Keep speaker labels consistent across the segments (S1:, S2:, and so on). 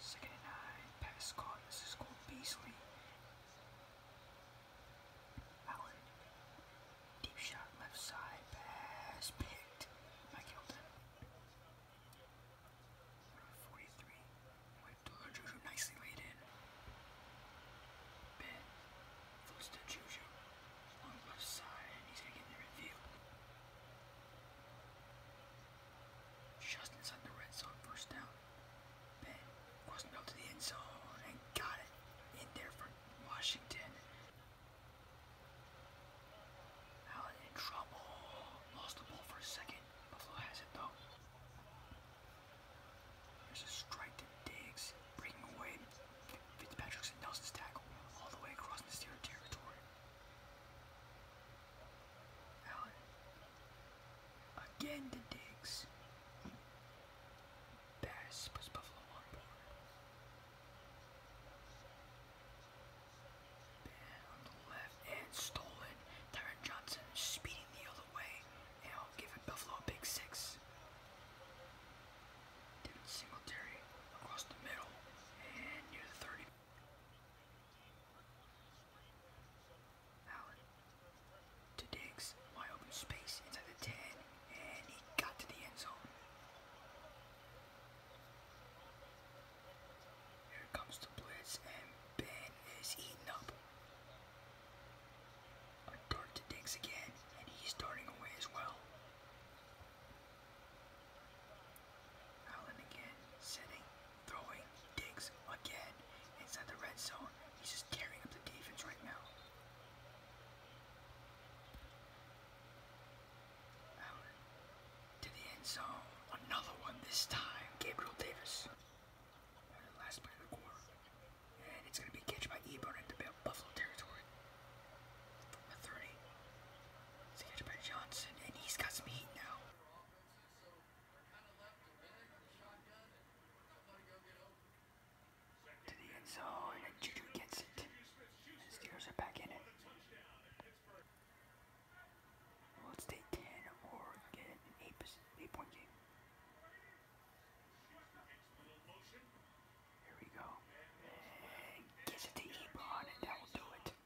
S1: Second and pass caught. This is called Beasley. Allen, deep shot, left side, pass, picked. Mike Hilton. Number 43, went to nicely laid in. Ben, floats to Juju, left side, and he's gonna get the review. Just inside the red zone, first down. Ben crossing up to the end zone and got it in there for Washington. Allen in trouble. Lost the ball for a second. Buffalo has it though. There's a strike to Diggs, breaking away. Fitzpatrick's Nelson's tackle all the way across the Steeler territory. Again to Diggs. Bass puts Buffalo on board. Ben the left and stolen. Tyron Johnson speeding the other way. And I'll give Buffalo a big six. David Singletary across the middle and near the 30. Allen to Diggs, wide open space inside the 10, and he got to the end zone. Here comes the blitz, and Ben is eaten up. A dart to Diggs again, and he's darting away as well. Allen again, sitting, throwing, digs again inside the red zone. He's just tearing up the defense right now. Allen to the end zone. Another one this time. Gabriel Davis. last play of the quarter. And it's going to be catch by Ebron at Buffalo territory. At 30. It's catch by Johnson, and he's got some heat now. To the end zone, and Juju gets it. The Steelers are back in it. let's take 10 or get an 8, eight point game. Here we go. gets it to Ebron, and that will do it.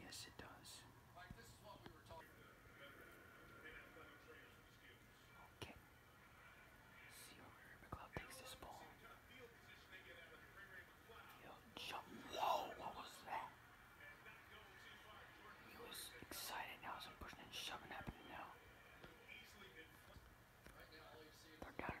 S1: Yes, it does. Like this is what takes this ball. Field jump. Whoa, what was that? He was excited now, so pushing and shoving happening now. They're down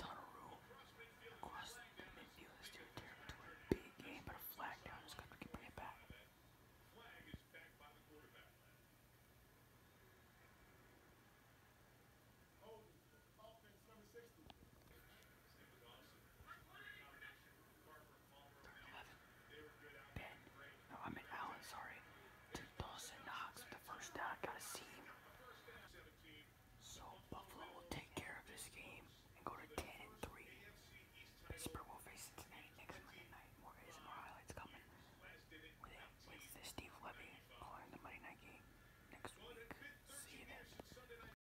S1: Donnarumma across the midfield is their territory. Big game, but a flag down. This country can bring it back. no, I meant Allen, sorry. To Dawson the first down. Gotta see him. So Buffalo will take care of this game and go to 10 and 3. Pittsburgh will face Cincinnati next Monday night. More is highlights coming with, it, with Steve Levy calling the Monday night game next week. See you then.